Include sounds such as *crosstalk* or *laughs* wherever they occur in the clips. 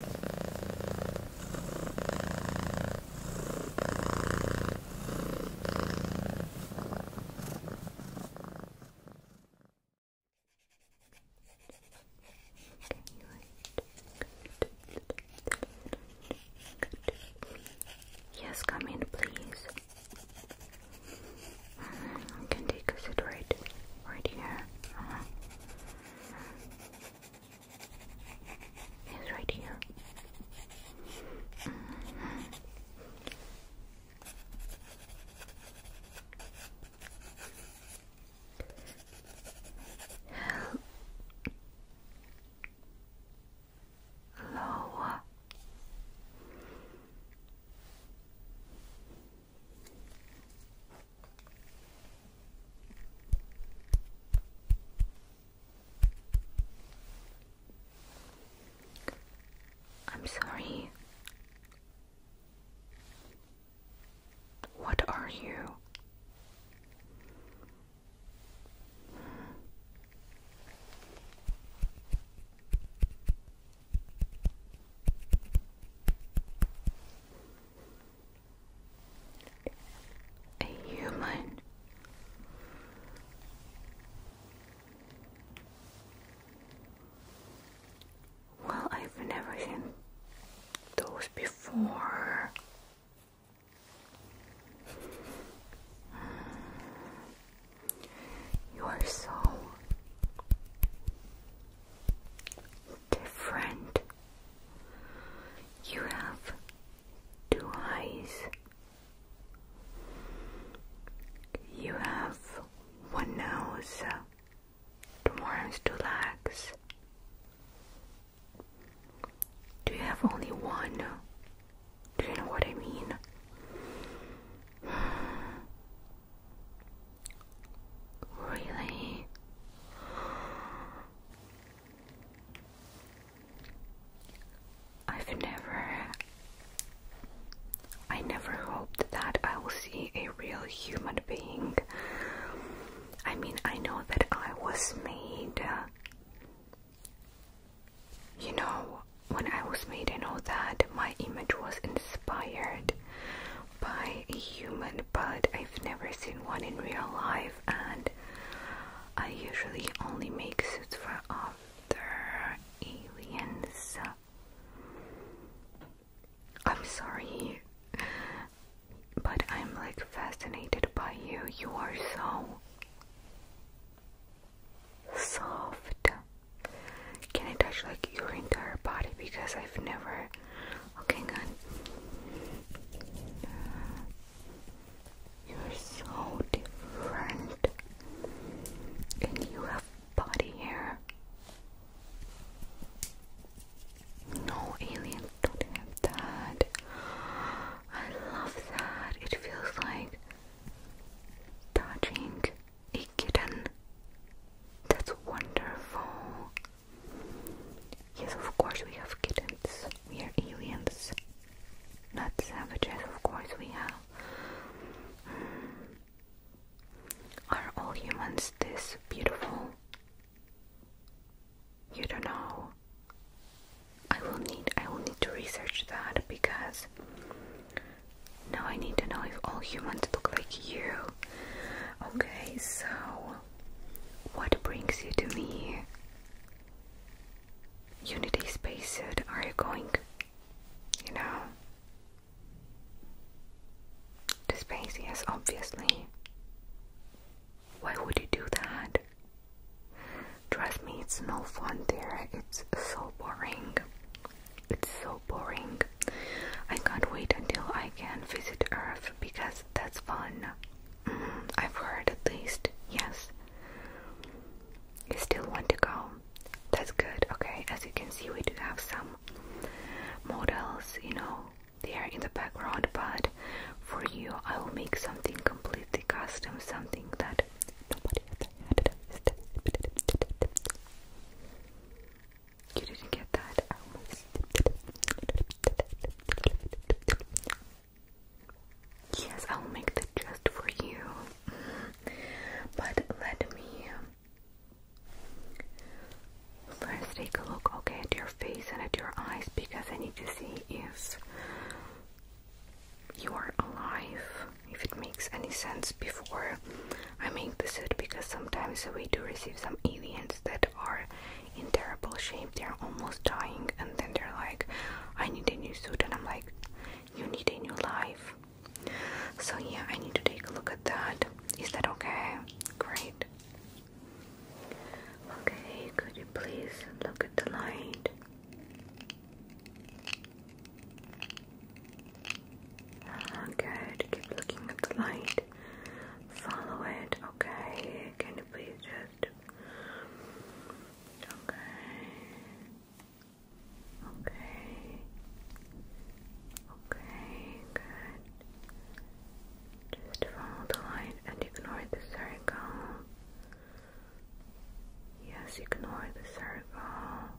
Yes, come in, please. Mm, can take a sit right, right here. Uh-huh is right here. Lower. *laughs* I'm sorry. What are you? a human. Well, I've never seen those before. Hmm. You are so different. You have two eyes. You have one nose, two arms, two legs. Do you have only one? Do you know what I mean? *sighs* Really? I've never. I never hoped that I will see a real human being. I mean, I know that I was made. You know, when I was made, I know that my image was inspired by a human, but I've never seen one in real life, and I usually only make suits for other aliens. I'm sorry, but I'm like fascinated by you. You are so soft. Can I touch like your entire body because I've never Okay, good. You're so different. And you have body hair. No aliens don't have that. I love that. It feels like touching a kitten. That's wonderful. Yes, of course we have kittens. We are aliens. Not savages, of course we have. Hmm. Are all humans this beautiful? You don't know. I will need I will need to research that because now I need to know if all humans look like you. Okay, so what brings you to me? Unity spacesuit, are you going, you know, to space? Yes, obviously. Why would you do that? Trust me, it's no fun there. It's so boring. It's so boring. I can't wait until I can visit Earth because that's fun. I've heard at least, yes. You still want to go? That's good, okay. As you can see, we do have some models, you know, there in the background, but for you, I will make something completely custom, something that nobody ever had. You didn't get that? Yes, I'll make the just for you. But let me first take a look, okay, at your face and at your eyes because I need to see if you are alive, if it makes any sense before I make this it because sometimes we do receive some aliens that are in terrible shape, they're almost dying, and then they're like, I need a new suit, and I'm like, You need a new life. So, yeah, I need to take a look at that. Is that okay? Great. Okay, could you please look at the light? Ah, good, keep looking at the light. Follow it, okay. Can you please just Okay. Okay. Okay, good. Just follow the light and ignore the circle. Yes, ignore the circle.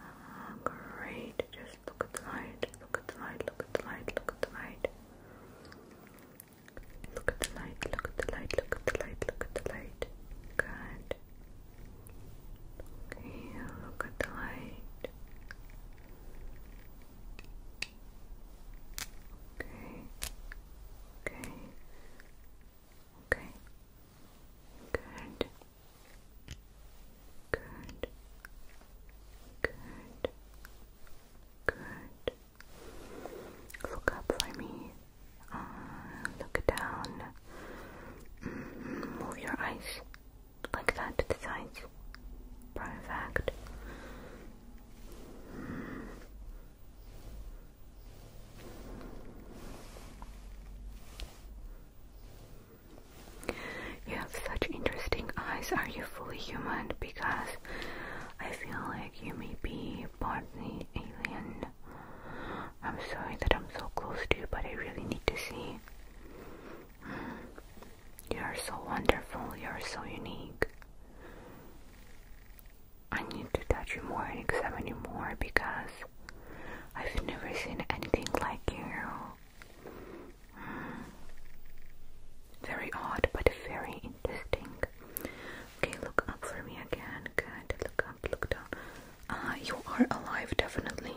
Ah, great. Just look at the light. Look at the light. Look at the light. Look at the light. Look at the light, look at the light, look at the light, look at the light. Good. Okay, look at the light. Okay. Okay. Okay. Good. Good. Good. Good. Look up for me. Uh, look down. Mm, move your eyes like that to the sides. Perfect. You have such interesting eyes. Are you fully human? Because I feel like you may be partly alien. I'm sorry that I'm so close to you, but I really need to see. Mm. You are so wonderful, you are so unique. I need to touch you more and examine you more because I've never seen anything like you. Very odd, but very interesting. Okay, look up for me again. Good. Look up, look down. Ah, you are alive, definitely.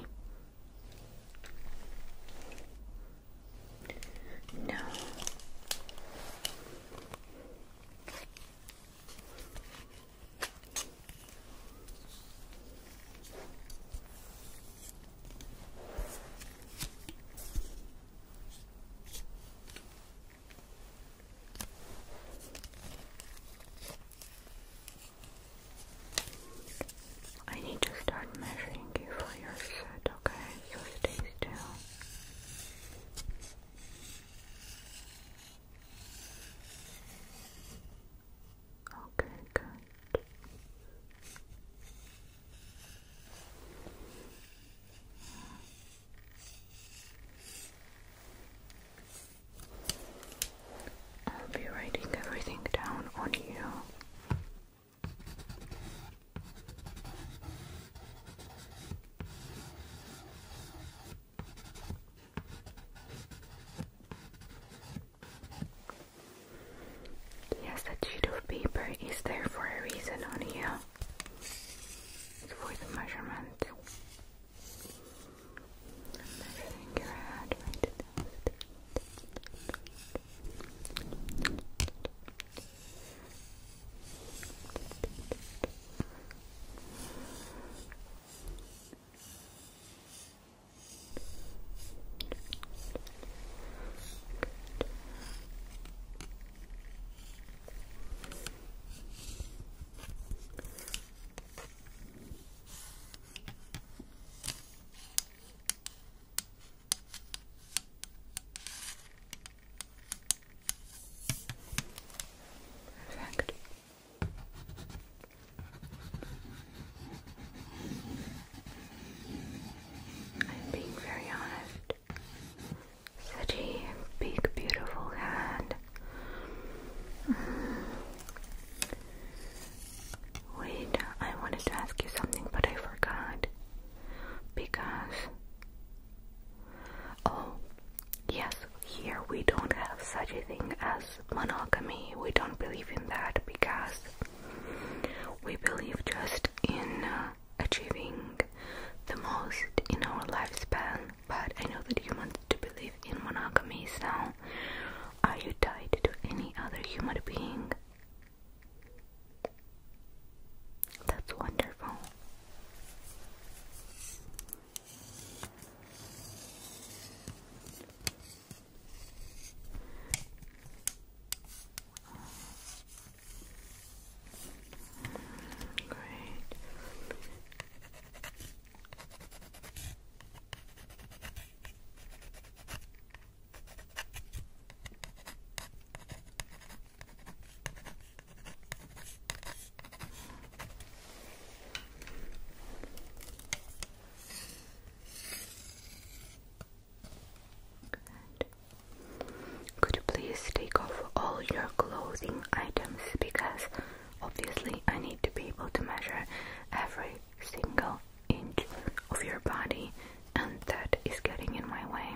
No. I need to start measuring you for your set, okay? So stay still. Okay, good. I'll be writing everything down on you. Yes, the sheet of paper is there for a reason on for the measurement. Perfect. I'm being very honest. Such a big, beautiful hand. Mm. Wait, I wanted to ask you something, but I forgot. Because. Oh, yes, here we don't have such a thing as monogamy. We don't believe in that because we believe just in. Uh, achieving the most in our lifespan, but I know that you want to believe in monogamy, so are you tied to any other human being? That's wonderful. Great. Okay. Could you please take off all your clothing items because obviously I need to be able to measure every single inch of your body and that is getting in my way.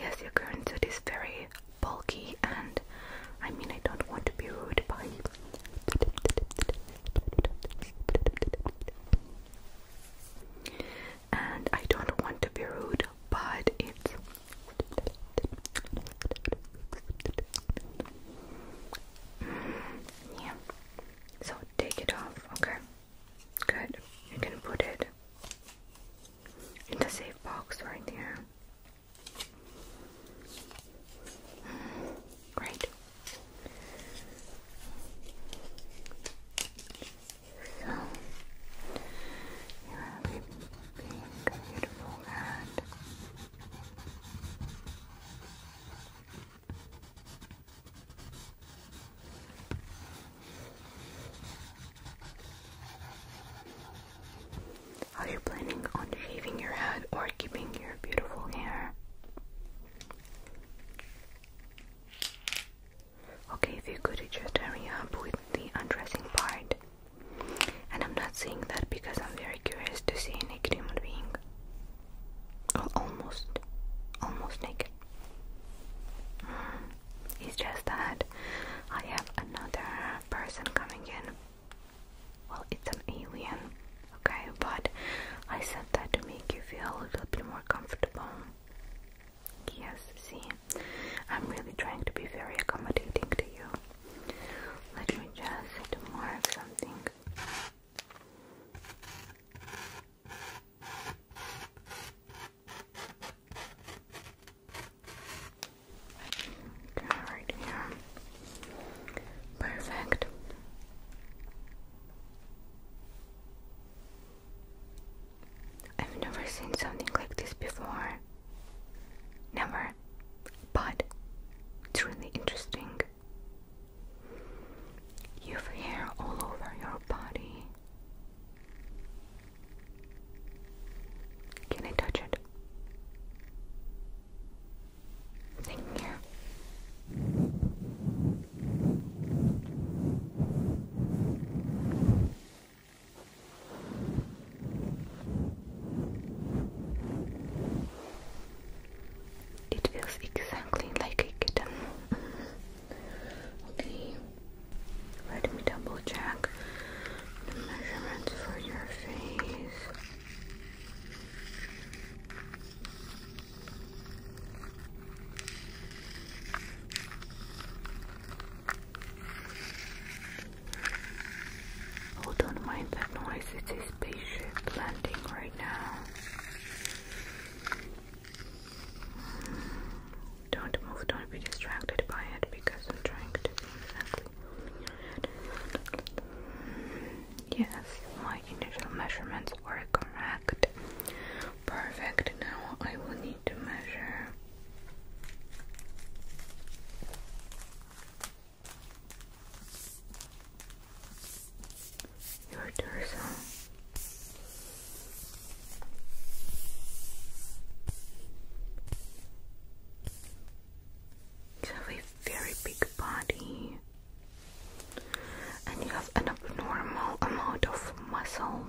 Yes, your current suit is very bulky and I mean I don't want to be rude but and I don't want to be rude, but it's mm, yeah. So take it off, okay? Good. You can put it in the safe box right there. Mm, great. So, you are being beautiful and are you planning on shaving your head or keeping your beautiful hair? Okay, if you could just hurry up with the undressing part. And I'm not saying that because I'm very curious to see a naked human being. Oh, almost, almost naked. Mm. It's just that I have another person coming in. Well, it's an alien, okay? But I said that to make you feel a little bit more comfortable. Yes, see, I'm really trying to be very accommodating to you. Let me just mark something. right here. Perfect. I've never seen something like this before. Never. But it's really interesting. You have hair all over your body. Can I touch it? Thank you. It feels exactly like a kitten. okay, let me double check the measurements for your face don't mind that noise, it's a spaceship landing right now. Don't move, don't be distracted by it because I'm trying to do exactly Yes, my initial measurements were correct. Perfect. Now I will need to measure. Your torso. You have a very big body, and you have an abnormal amount of muscle.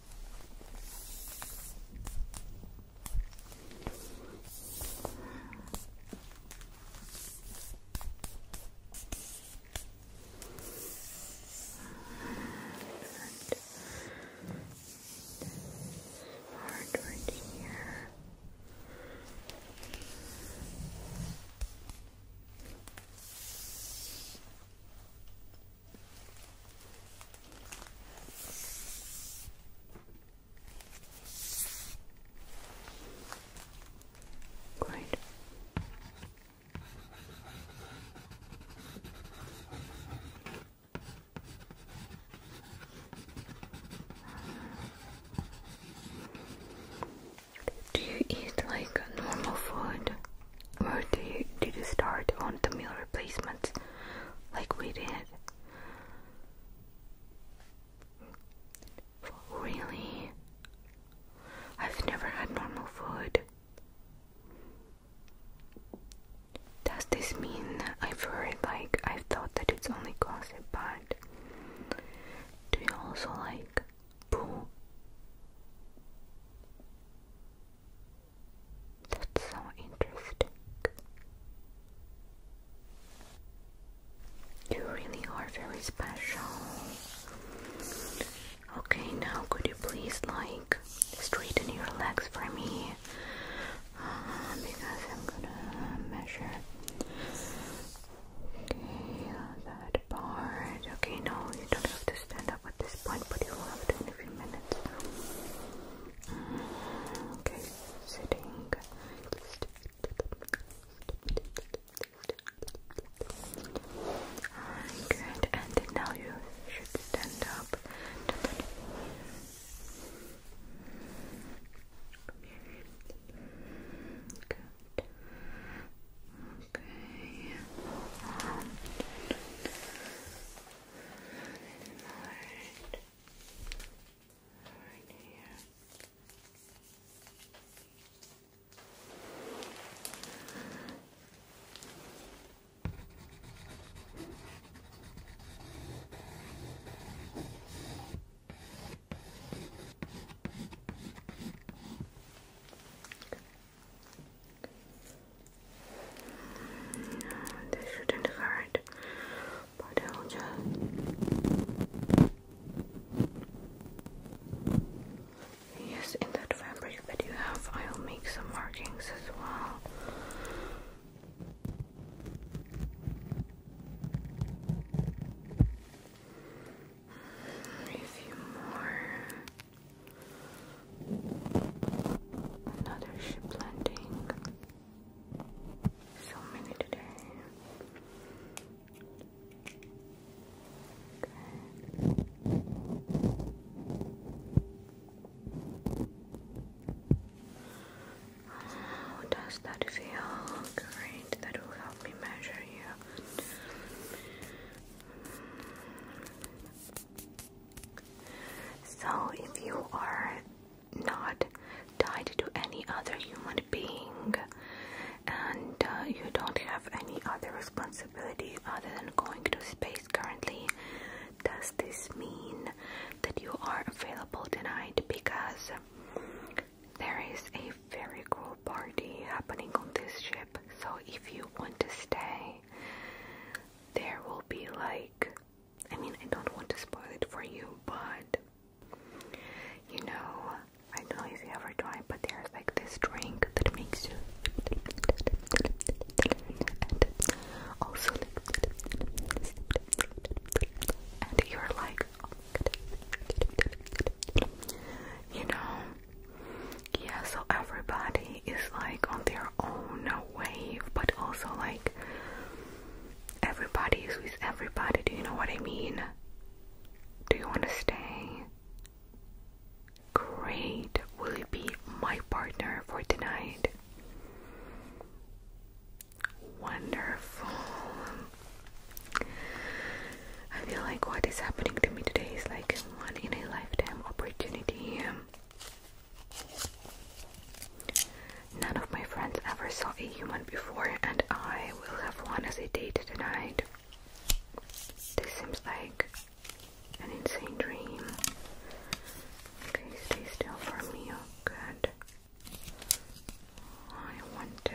Hard right here. Great. Do you eat like normal food? Where do you, did you start on the meal replacements like we did? Really? I've never had normal food. Does this mean I've heard like I thought that it's only gossip, but do you also like poo? That's so interesting. You really are very special. Okay, now could you please like straighten your legs for me? Uh, because I'm gonna measure. Okay, that part. Okay, no, you don't have to stand up at this point, but you will have it in a few minutes. Mm, okay, sitting. Good, and now you should stand up. Okay. Right. Right here. This shouldn't hurt, but I'll just yes, in that fabric that you have, I'll make some markings as well. A few more. Another ship landing. So many today. How does that feel? Great, that will help me measure you. So, if you are not tied to any other human being and uh, you don't have any other responsibility other than going to space currently, does this mean that you are available tonight? Because there is a very cool party happening on this ship, so if you want to stay, there will be like I mean I don't want to spoil it for you but you know I don't know if you ever tried but there's like this drink that makes you also and you're like you know yeah so everybody is like on their their own wave, but also like everybody is with everybody. Do you know what I mean? Do you want to stay? Great. Will you be my partner for tonight? Wonderful. I feel like what is happening to me today is like one in a lifetime opportunity. None of my friends ever saw a human before, and I will have one as a date tonight. This seems like an insane dream. Okay, stay still for me. Oh good. I want to.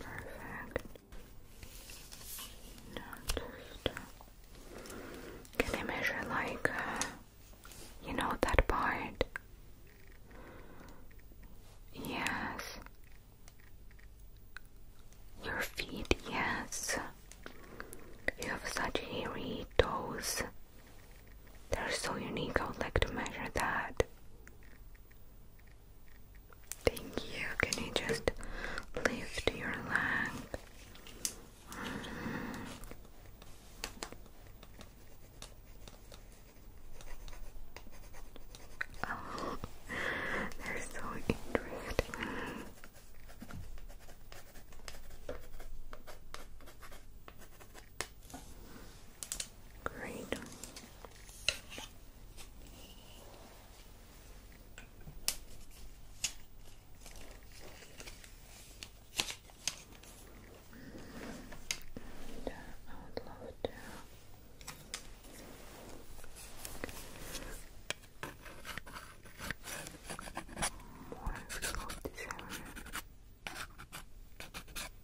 Perfect. can I measure like, uh, you know that part? Yes. Your feet, yes. You have such hairy toes. They're so unique, I would like to measure that. Thank you. Can you just lift your leg? Mm-hmm. Oh, they're so interesting. Great. And, uh, I would love to more of this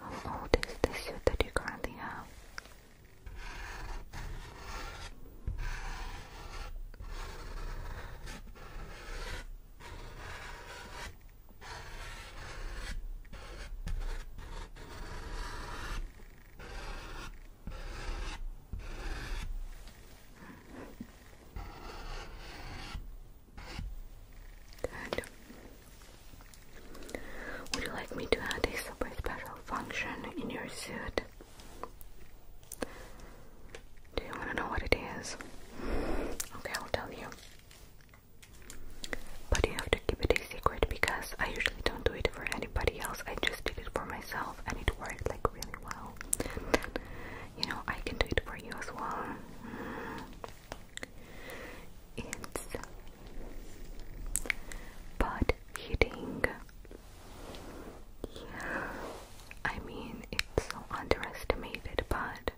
How old is the suit that you currently have? Good. Would you like me to add a super special function in your suit? Do you want to know what it is? Okay, I'll tell you. But you have keep it a secret because I usually don't do it for anybody else. I just did it for myself and it worked like really well. You know, I can do it for you as well. Mm-hmm. It's butt hitting. Yeah, I mean, it's so underestimated, but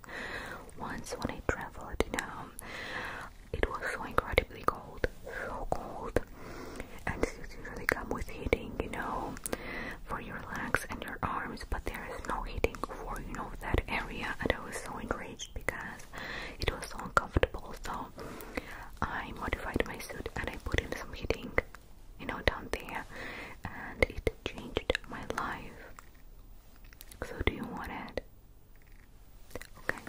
once when I traveled, you know, it was so incredibly cold, so cold. And suits usually come with heating, you know, for your legs and your arms, but there is no heating for you know that area. And I was so enraged because it was so uncomfortable. So I modified my suit and I put in some heating, you know, down there, and it changed my life. So, do you want it? Okay,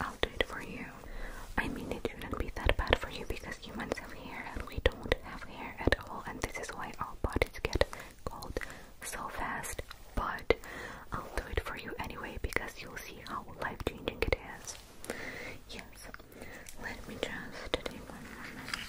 I'll do it for you. I mean, it wouldn't be that bad for you because humans have hair and we don't have hair at all, and this is why our bodies get cold so fast. But I'll do it for you anyway because you'll see how life changing it is. Yes, let me just take one moment.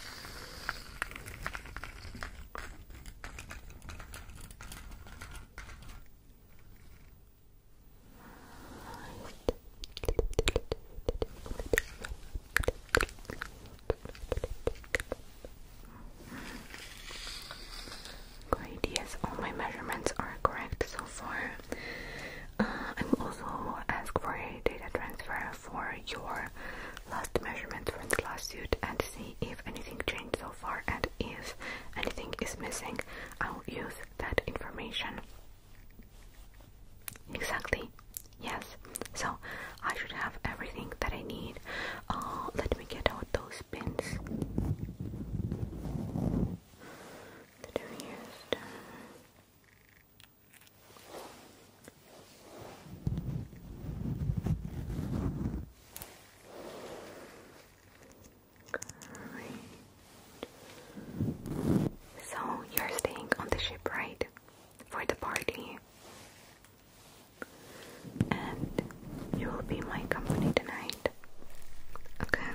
Great, yes, all my measurements are correct so far. Uh, I'm also asked for a data transfer for your last measurements from the last suit and see if anything changed and if anything is missing, I will use that information. Exactly, yes. So I should have everything that I need. Uh, let me get out those pins that we used. Uh, so you're staying on the ship, right? For the party. And you will be my company tonight. Okay.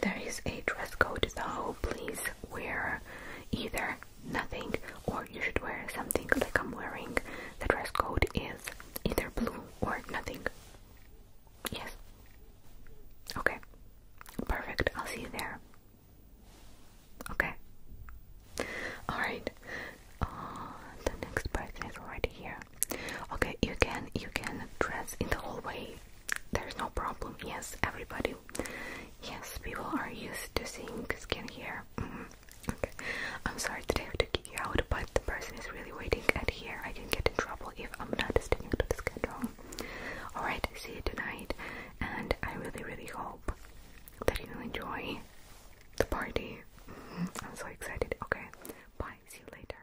There is a dress code, so please wear either nothing or you should wear something like I'm wearing. The dress code is either blue or nothing. Yes. Okay. Perfect. I'll see you there. Okay. Alright. Uh, the next person is right here. Okay, you can you can dress in the hallway. There's no problem. Yes, everybody. Yes, people are used to seeing skin here. Mm-hmm. Okay. I'm sorry today I have to you but the person is really waiting, and here I can get in trouble if I'm not sticking to the schedule. Alright, see you tonight, and I really, really hope that you enjoy the party. Mm-hmm. I'm so excited. Okay, bye, see you later.